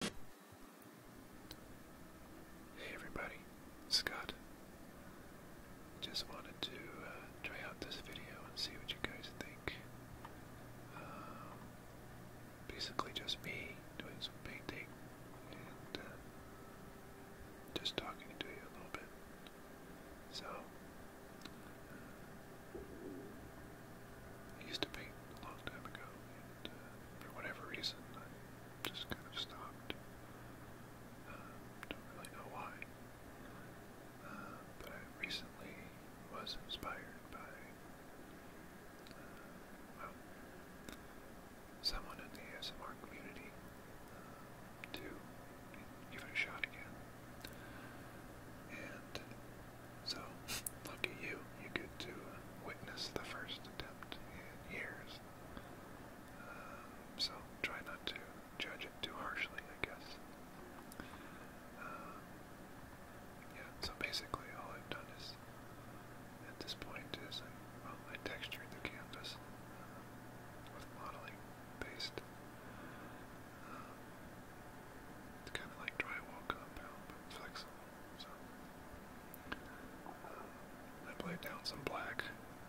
Hey everybody, Scott. Just wanted to uh, try out this video and see what you guys think. Um, basically, just me doing some painting and uh, just talking to you a little bit. So, uh, I used to paint a long time ago, for whatever reason, just kind of stopped. Um, don't really know why. Uh, but I recently was inspired by, uh, someone in the ASMR community uh, to give it a shot again. And so, look at you, you get to uh, witness the first attempt in years. Um, so, try not to judge it too harshly, I guess. Um, yeah, so basically all I've done is, at this point is, I, well, I textured the canvas um, with modeling based. it's kind of like drywall compound, but flexible. Uh, I played down some black,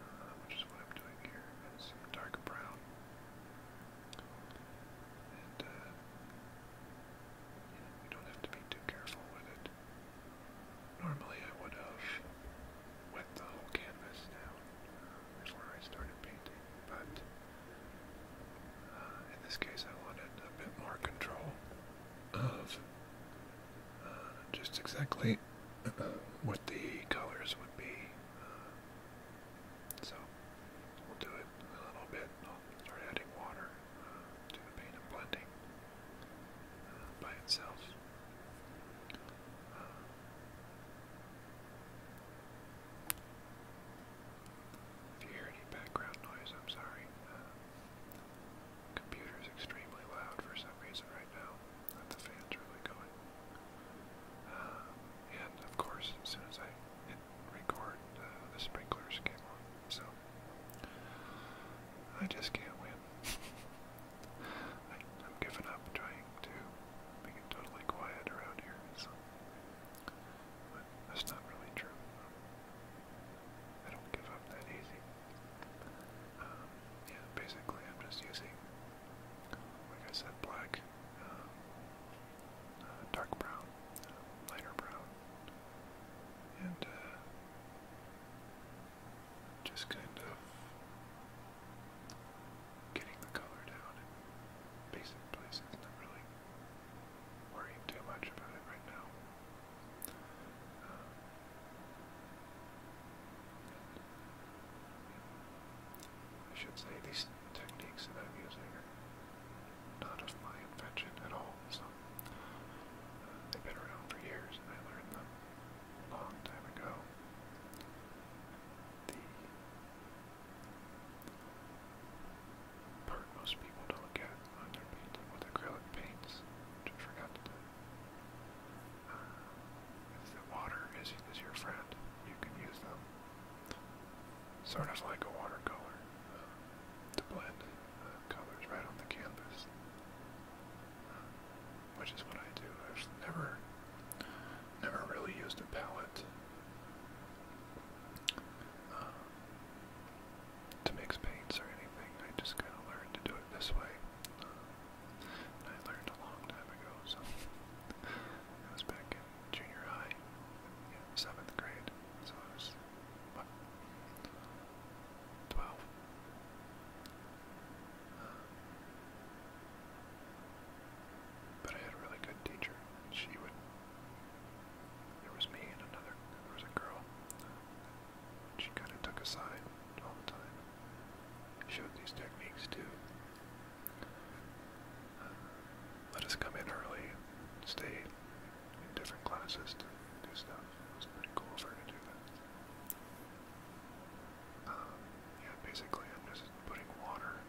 uh, which what I'm doing here, and dark brown. And uh, you, don't have to be too careful with it. Normally I would have wet the whole canvas down uh, before I started painting, but in this case I wanted a bit more control of uh, just exactly what the colors would be. Uh, so we'll do it a little bit. I'll start adding water uh, to the paint and blending by itself. if you hear any background noise, I'm sorry. Computer is extremely loud for some reason right now. That the fans are really going. Uh, and of course, as soon as I hit record, uh, the sprinklers came on. So I just can't win. I, am giving up trying to make it totally quiet around here. So. that's not really true. I don't give up that easy. Um, yeah, basically I'm just using, like I said, black, um, uh, dark brown, uh, lighter brown, and uh, just kind of getting the color down in basic places, not really worrying too much about it right now. Um, I should say these techniques that I'm using are not of my invention at all, so uh, they've been around for years and I learned them long time ago most people to look at on their paint with acrylic paints, which forgot to uh, if the water is, your friend, you can use them sort of like a watercolor uh, to blend uh, colors right on the canvas, uh, which is what I do. I've never, never really used a palette to mix paints or anything. I just kind of learned to do it this way. Uh, and I learned a long time ago, so it was back in junior high, yeah, seventh grade. So I was what, twelve. Uh, but I had a really good teacher. She would there was me and another, there was a girl. She kind of took a side all the time. Showed these techniques too. Uh, let us come in early, stay in different classes to do stuff. It was pretty cool for her to do that. Um, yeah, basically I'm just putting water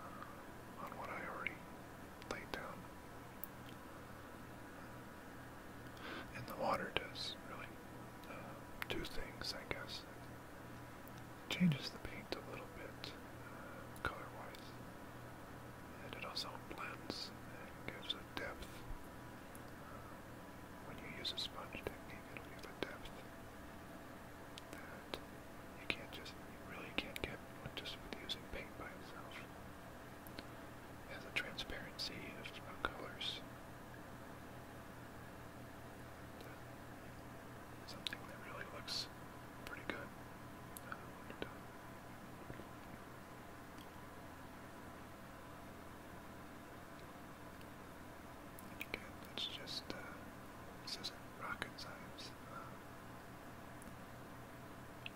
uh, on what I already laid down and the water does really two uh, things, I guess. It changes the paint a little bit uh, color wise, and it also blends and gives a depth. Uh, when you use a sponge technique, it'll give a depth that you can't just, you really can't get just with using paint by itself has a transparency of, colors. Something that really looks pretty good uh, again, it's just, uh, this isn't rocket science. Um,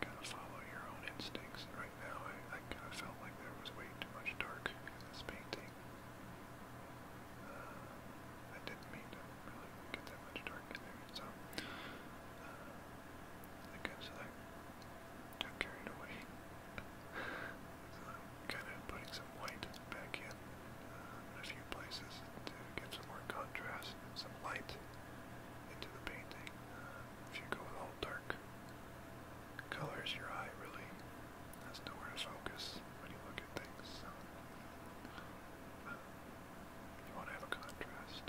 Gotta follow your own instincts. Right now, I, kind of felt like there was way too much dark in this painting. Uh, I didn't mean to really get that much dark in there, so uh, I guess I carried away. so I'm kind of putting some white back in, uh, in a few places to get some more contrast and some light into the painting. if you go with all dark colors, your eye really has nowhere to focus when you look at things. So, you want to have a contrast.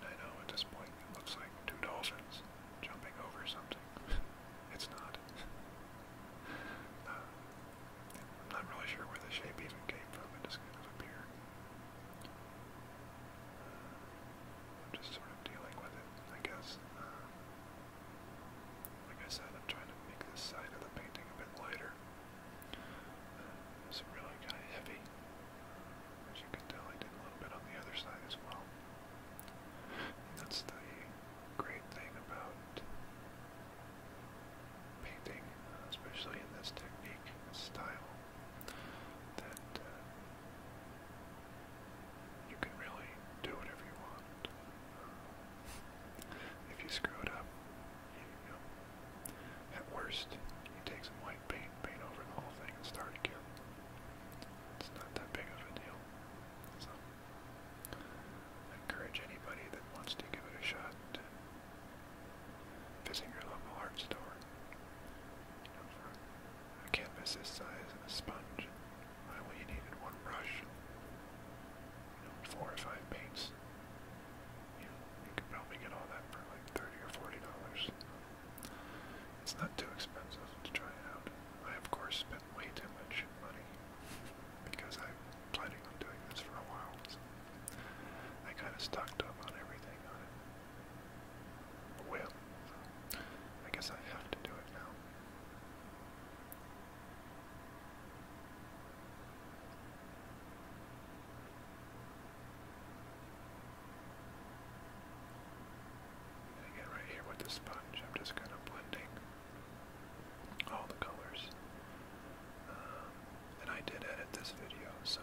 And I know at this point it looks like two dolphins jumping over something. it's not. Uh, I'm not really sure where the shape even came from. It just kind of appeared. Uh, I'm just sort of dealing with it, I guess. Uh, like I said, I'm trying to make this side of the painting a bit lighter. Uh, it's really kind of heavy. As you can tell, I did a little bit on the other side as well. And that's the great thing about painting, uh, especially in this technique, style, that uh, you can really do whatever you want. If you screw it up, at worst, you take some white paint, paint over the whole thing, and start again. It's not that big of a deal. So, encourage anybody that wants to give it a shot to visit your local art store. You know, for a canvas this size and a sponge, why well, you needed one brush. You know, four or five paints. You know, you could probably get all that for like thirty or forty dollars. It's not too expensive to try it out. I of course spent way too much money because I'm planning on doing this for a while. So I kind of stocked up on everything on it. Well, I guess I have to do it now again, right here with the sponge, I'm just kind of blending all the colors. Um, and I did edit this video, so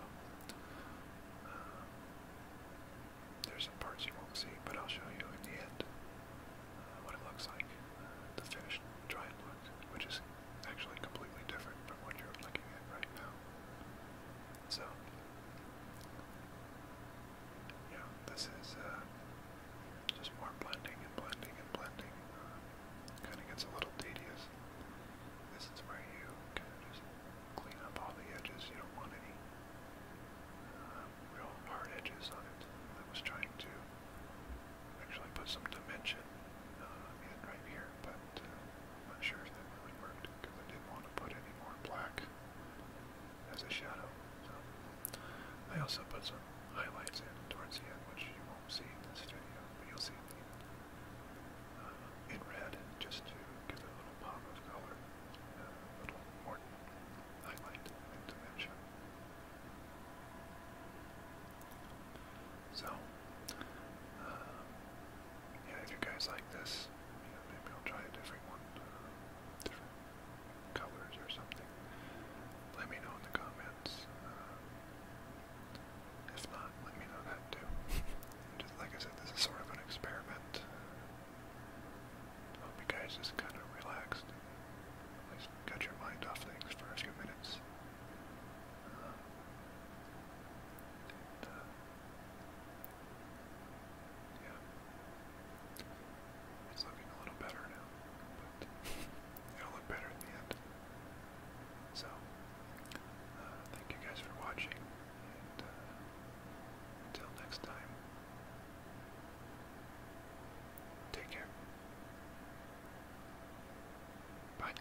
um, there's some parts you won't see, but I'll show you in the end uh, what it looks like, uh, the finished dried look, which is actually completely different from what you're looking at right now. So, yeah, this is uh, just more blending and blending and blending. kind of gets a little tedious. This is where you kind of just clean up all the edges. You don't want any real hard edges on it. I was trying to actually put some dimension uh, in right here, but uh, not sure if that really worked because I didn't want to put any more black as a shadow. I also put some highlights in towards the end, which you won't see in this video, but you'll see it uh, in red just to give it a little pop of color, uh, a little more so, uh, yeah, if you guys like this, maybe I'll try a different uh, different colors or something. Let me know in the comments. Uh, if not, let me know that too. Just like I said, this is sort of an experiment. Hope you guys just kind of relaxed. At least got your mind off things for a few minutes. Um, uh, yeah. It's looking a little better now, but it'll look better in the end. So, uh, thank you guys for watching, and uh, until next time, Take care. Bye.